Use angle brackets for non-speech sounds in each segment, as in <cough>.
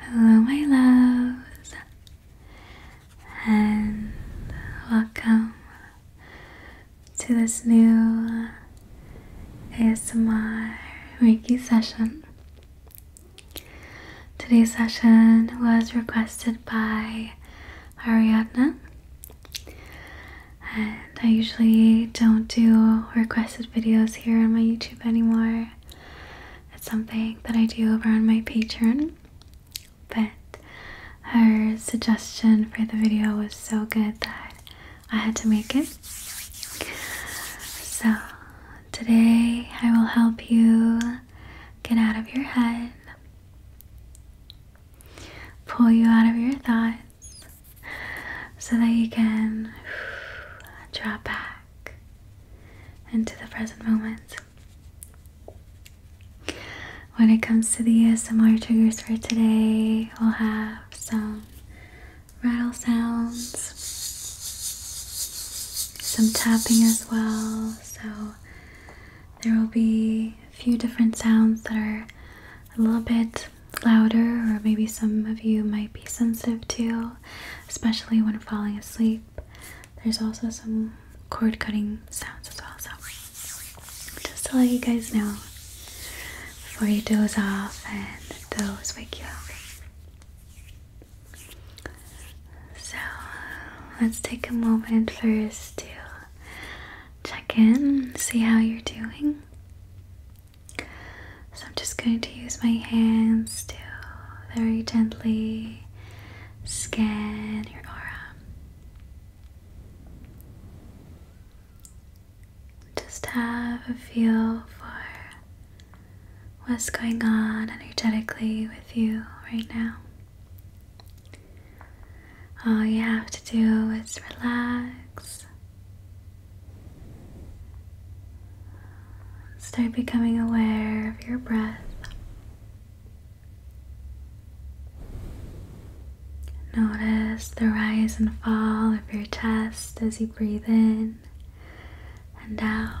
Hello, my loves, and welcome to this new ASMR Reiki session. Today's session was requested by Ariadna, and I usually don't do requested videos here on my YouTube anymore. It's something that I do over on my Patreon. But her suggestion for the video was so good that I had to make it. So, today I will help you get out of your head, pull you out of your thoughts, so that you can <sighs> drop back into the present moment. When it comes to the ASMR triggers for today, we'll have some rattle sounds, some tapping as well. So there will be a few different sounds that are a little bit louder, or maybe some of you might be sensitive to especially when falling asleep. There's also some cord cutting sounds as well, so just to let you guys know before you doze off and those wake you up. So let's take a moment first to check in, see how you're doing. So I'm just going to use my hands to very gently scan your aura. Just have a feel for what's going on energetically with you right now. All you have to do is relax Start becoming aware of your breath. Notice the rise and fall of your chest as you breathe in and out.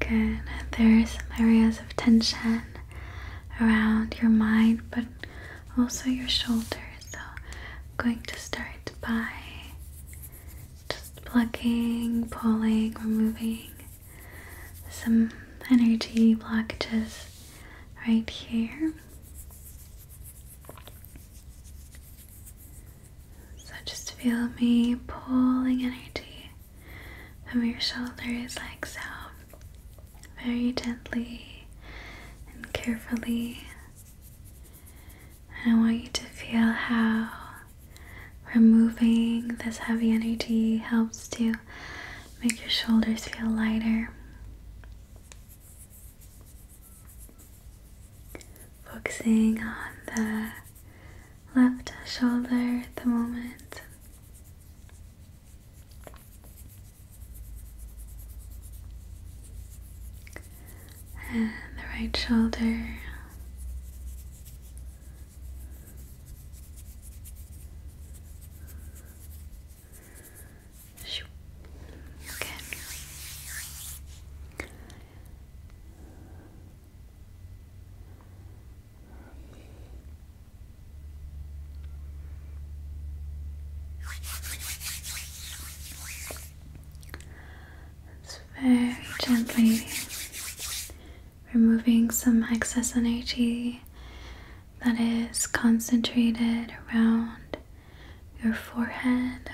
Good. There are some areas of tension around your mind but also your shoulders. So I'm going to start by just plucking, pulling, removing some energy blockages right here. So just feel me pulling energy from your shoulders like so, very gently and carefully. And I want you to feel how removing this heavy energy helps to make your shoulders feel lighter. Focusing on the left shoulder at the moment. And the right shoulder. Okay. It's very gently removing some excess energy that is concentrated around your forehead.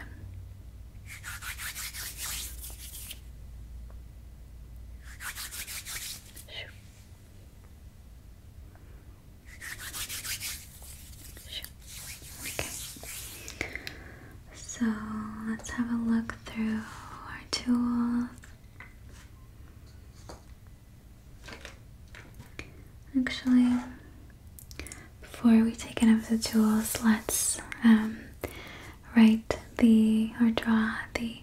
Okay. So let's have a look through our tools. Actually, before we take any of the tools, let's um, write the or draw the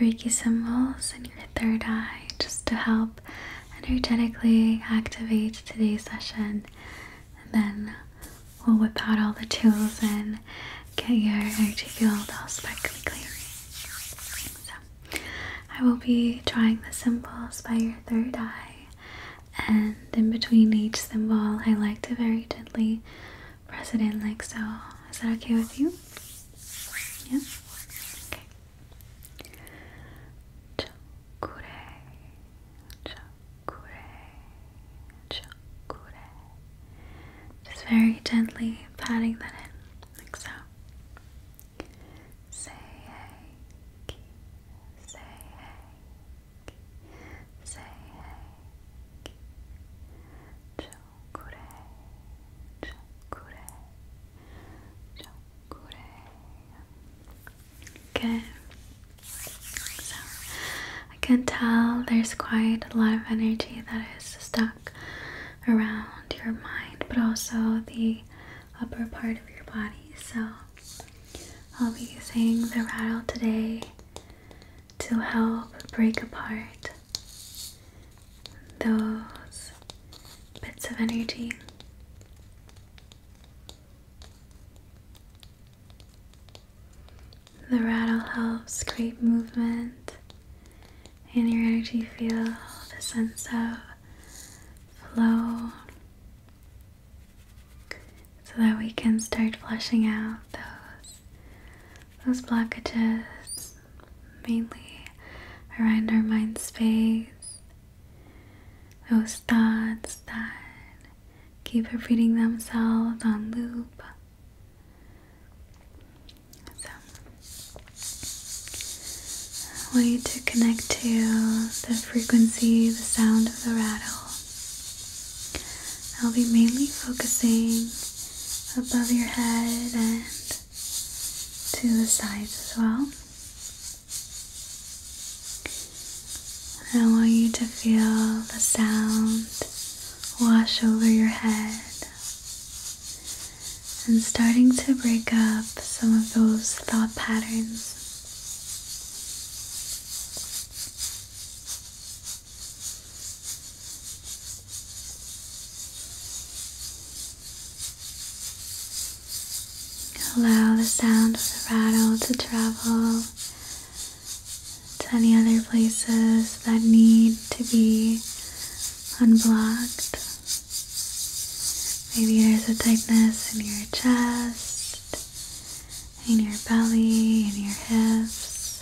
Reiki symbols in your third eye just to help energetically activate today's session. And then we'll whip out all the tools and get your energy field all sparkly clear. So, I will be drawing the symbols by your third eye, and in between each symbol, I like to very gently Press it in like so. Is that okay with you? Yeah? Okay. Just very gently patting that in, like so. Say hey, say hey, say hey. Okay, so I can tell there's quite a lot of energy that is stuck around your mind, but also the upper part of your body. So I'll be using the rattle today to help break apart those bits of energy. The rattle helps create movement in your energy Feel the sense of flow, so that we can start flushing out those those blockages mainly around our mind space. Those thoughts that keep repeating themselves on loop. way to connect to the frequency, the sound of the rattle. I'll be mainly focusing above your head and to the sides as well. I want you to feel the sound wash over your head and starting to break up some of those thought patterns. Allow the sound of the rattle to travel to any other places that need to be unblocked. Maybe there's a tightness in your chest, in your belly, in your hips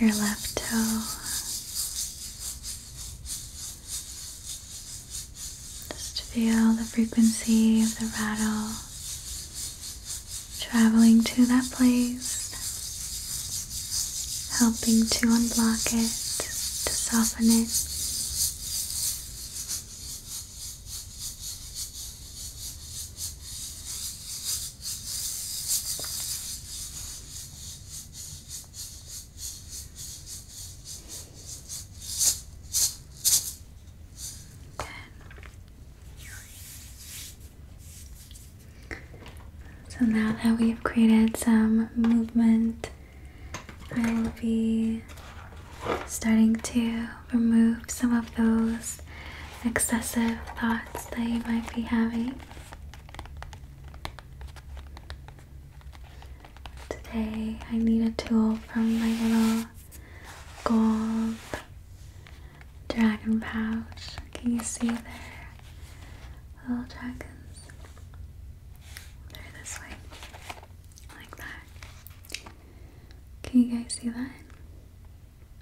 your left toe. Just feel the frequency of the rattle traveling to that place, helping to unblock it, to soften it. So now that we've created some movement, I will be starting to remove some of those excessive thoughts that you might be having. Today I need a tool from my little gold dragon pouch. Can you see there? Little dragons. they this way. Like that. Can you guys see that?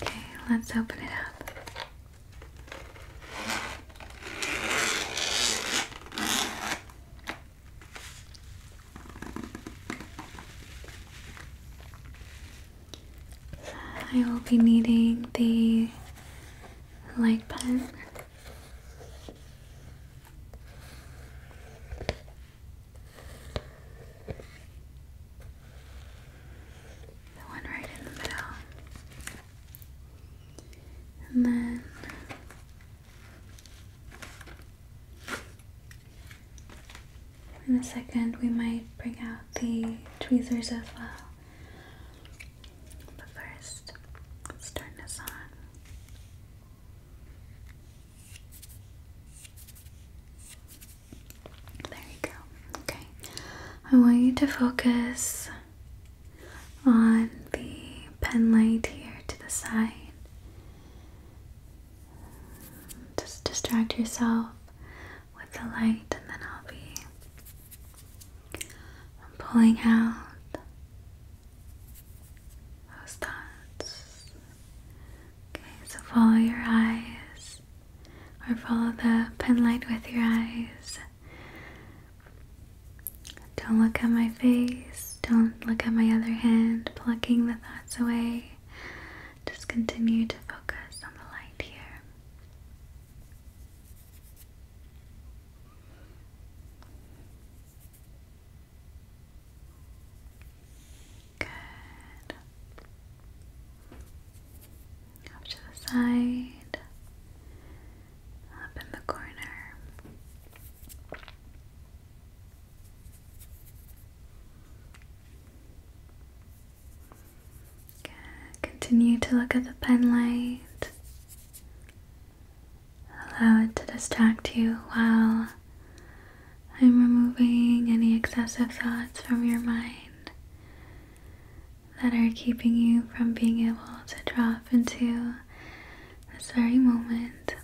Okay, let's open it up. I will be needing the light pen. The one right in the middle. And then in a second we might bring out the tweezers as well. But first, let's on. There you go. Okay. I want you to focus on the pen light here to the side. Just distract yourself with the light, and then I'll be pulling out those thoughts Okay, so follow your eyes or follow the pen light with your eyes. Don't look at my face. Don't look at my other hand, plucking the thoughts away. Just continue to focus on the light here. Good. Up to the side, up in the corner. Good. Continue to look at the pen light. Allow it to distract you while I'm removing any excessive thoughts from your mind that are keeping you from being able to drop into this very moment.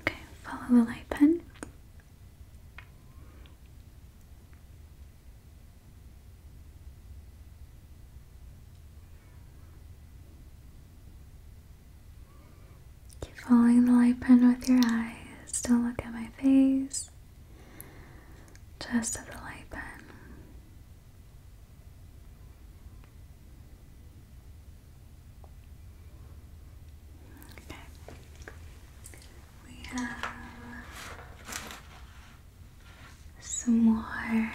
Okay, follow the light pen. Keep following the light pen with your eyes. Don't look at my face. Just at the light pen. Okay. We have some more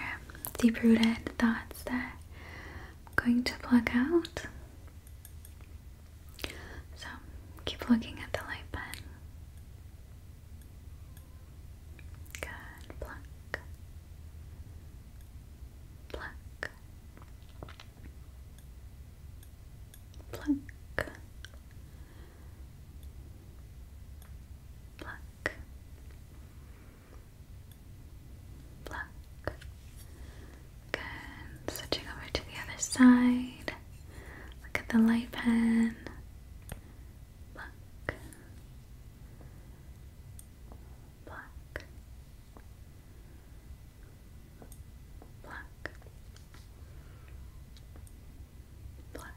deep rooted thoughts that I'm going to plug out. So keep looking at the light pen. Good, pluck, pluck, pluck, pluck. Black. Good. Switching over to the other side. Look at the light pen. Pluck. Pluck. Pluck. Pluck.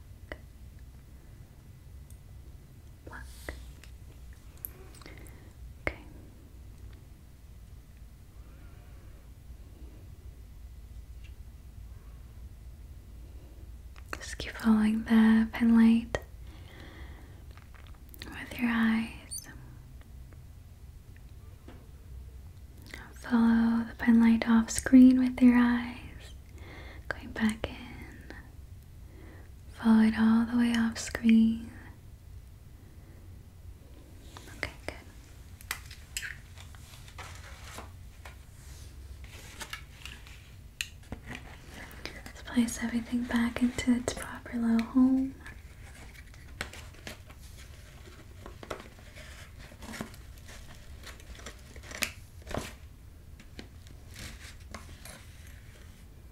Just keep following the pen light with your eyes. Follow the pen light off screen with your eyes, going back in Follow it all the way off screen. Okay, good. Let's place everything back into its proper little home.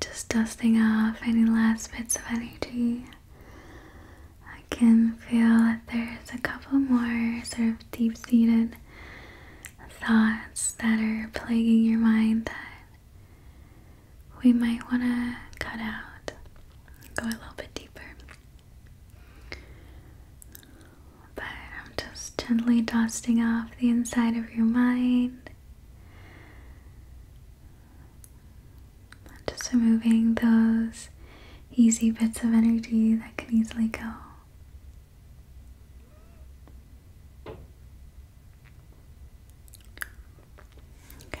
just dusting off any last bits of energy. I can feel that there's a couple more sort of deep seated thoughts that are plaguing your mind that we might want to cut out go a little bit deeper. But I'm just gently dusting off the inside of your mind. Just removing those easy bits of energy that can easily go. Okay.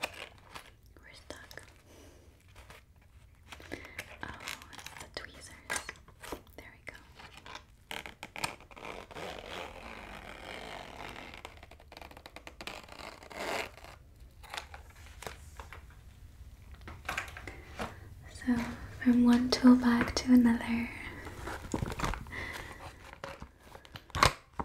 We're stuck. Oh, the tweezers. There we go. So, from one tool bag to another.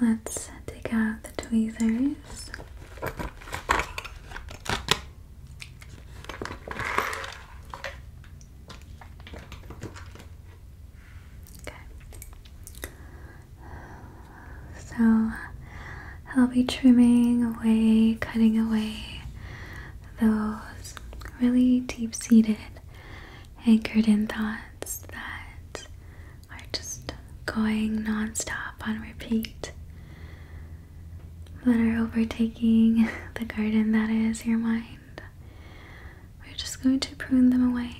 Let's take out the tweezers. Okay. So I'll be trimming away, cutting away those really deep seated, anchored in thoughts that are just going non stop on repeat, that are overtaking <laughs> the garden that is your mind. We're just going to prune them away.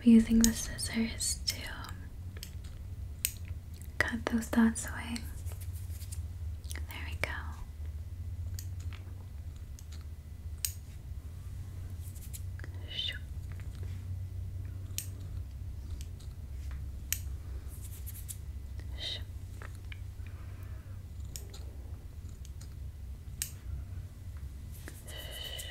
we're using the scissors to cut those thoughts away. There we go. Shoo. Shoo. Shoo.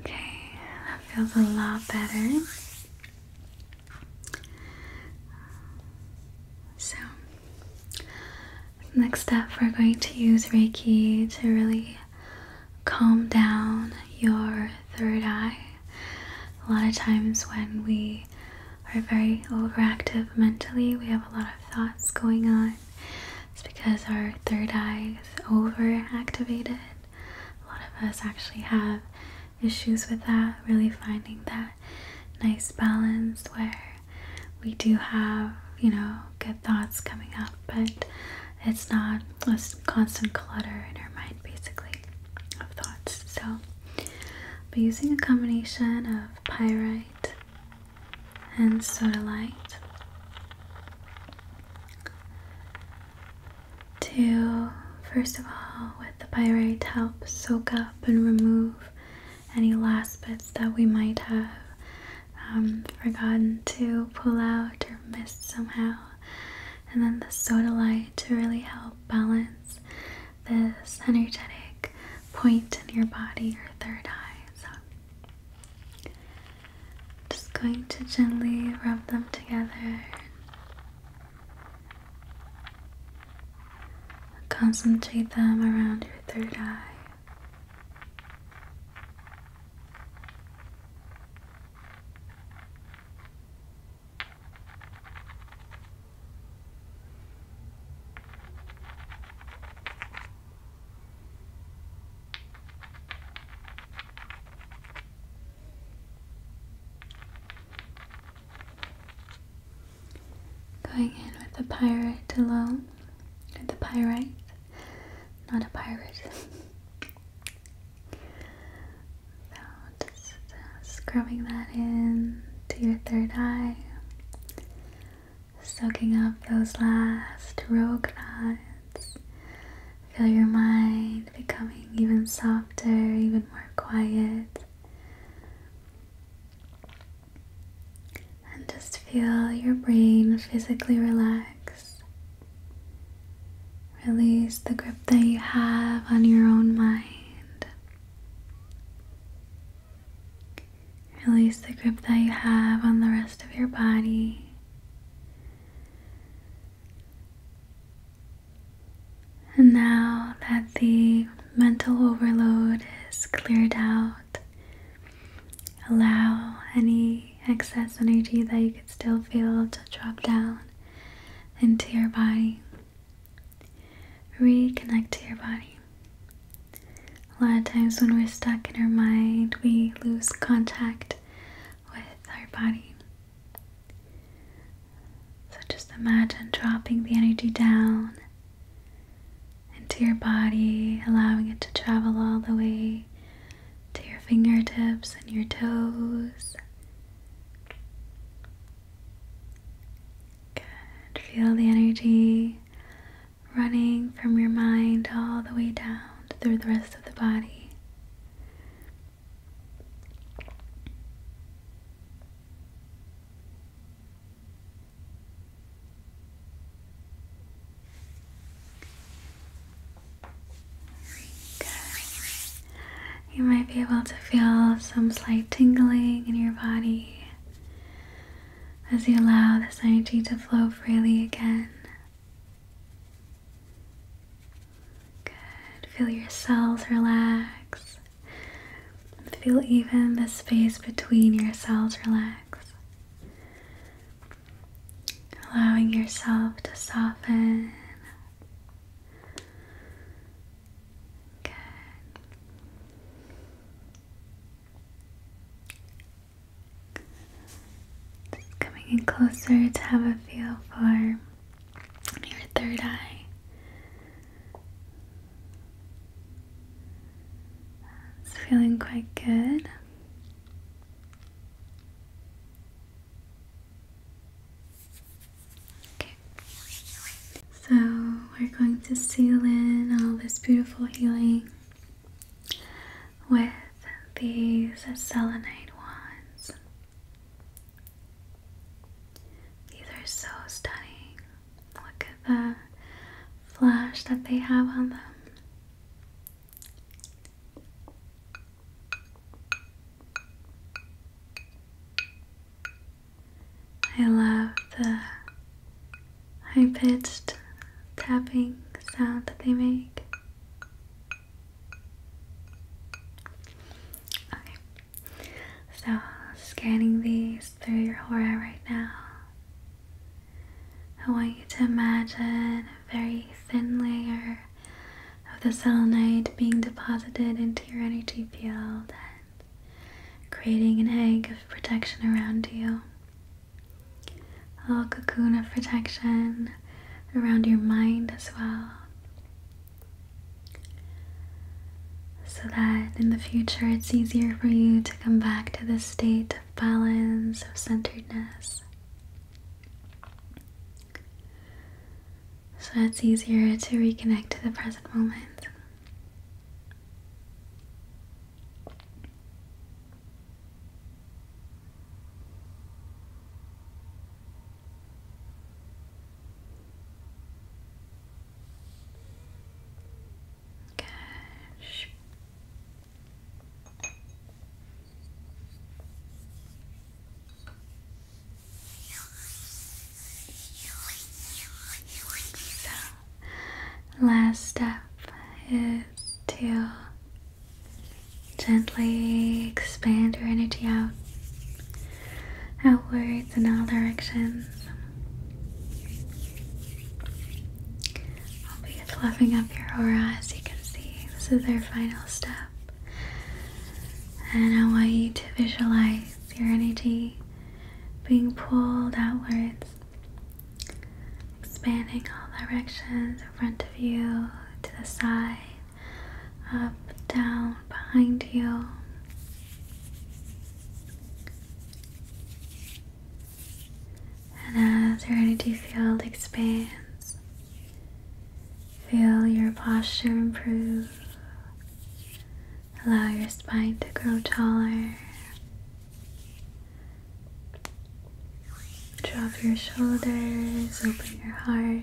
Okay, that feels a lot better. So, next up, we're going to use Reiki to really calm down your third eye. A lot of times, when we we are very overactive mentally, we have a lot of thoughts going on. It's because our third eye is overactivated. A lot of us actually have issues with that, really finding that nice balance where we do have, you know, good thoughts coming up, but it's not a constant clutter in our mind, basically, of thoughts. So, by using a combination of pyrite and sodalite to, first of all, with the pyrite, help soak up and remove any last bits that we might have um, forgotten to pull out or missed somehow. And then the sodalite to really help balance this energetic point in your body, your third eye. So, just going to gently rub them together. Concentrate them around your third eye. Going in with the pirate alone, with the pirate, not a pirate. About <laughs> Just scrubbing that in to your third eye, soaking up those last rogue knots. Feel your mind becoming even softer, even more quiet. And just feel your brain physically relax. Release the grip that you have on your own mind. Release the grip that you have on the rest of your body. And now that the mental overload is cleared out, allow any excess energy that you could still feel to drop down into your body. Reconnect to your body. A lot of times, when we're stuck in our mind, we lose contact with our body. So, just imagine dropping the energy down into your body, allowing it to travel all the way to your fingertips and your toes. Feel the energy running from your mind all the way down through the rest of the body. You might be able to feel some slight tingling in your body as you allow this energy to flow freely again. Good. Feel your cells relax. Feel even the space between your cells relax. Allowing yourself to soften. Good. coming in closer to have a feel for your third eye. It's feeling quite good. Okay. So we're going to seal in all this beautiful healing with these selenite wands. These are so stunning. Look at the flash that they have on them. I love the high pitched tapping sound that they make. Okay, so scanning these through your aura right now. I want you to imagine a very thin layer of the selenite being deposited into your energy field creating an egg of protection around you. A little cocoon of protection around your mind as well. So that in the future it's easier for you to come back to the state of balance, of centeredness. So it's easier to reconnect to the present moment. Cash last step is to gently expand your energy out, outwards in all directions. I'll be fluffing up your aura as you can see. This is our final step. And I want you to visualize your energy being pulled outwards, expanding all directions in front of you, to the side, up, down, behind you. And as your energy field expands, feel your posture improve. Allow your spine to grow taller. Drop your shoulders, open your heart.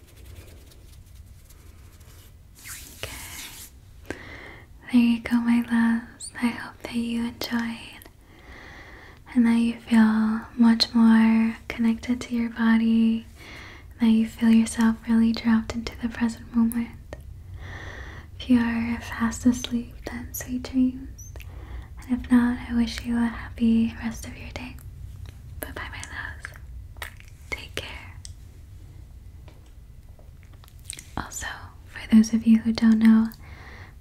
Okay. There you go, my loves. I hope that you enjoyed and that you feel much more connected to your body, that you feel yourself really dropped into the present moment. If you are fast asleep, then sweet dreams. And if not, I wish you a happy rest of your day. Bye bye, my loves. Take care. Also, for those of you who don't know,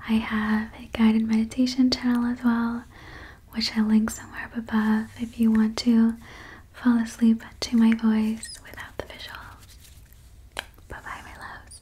I have a guided meditation channel as well, which I link somewhere up above if you want to fall asleep to my voice without the visuals. Bye bye, my loves.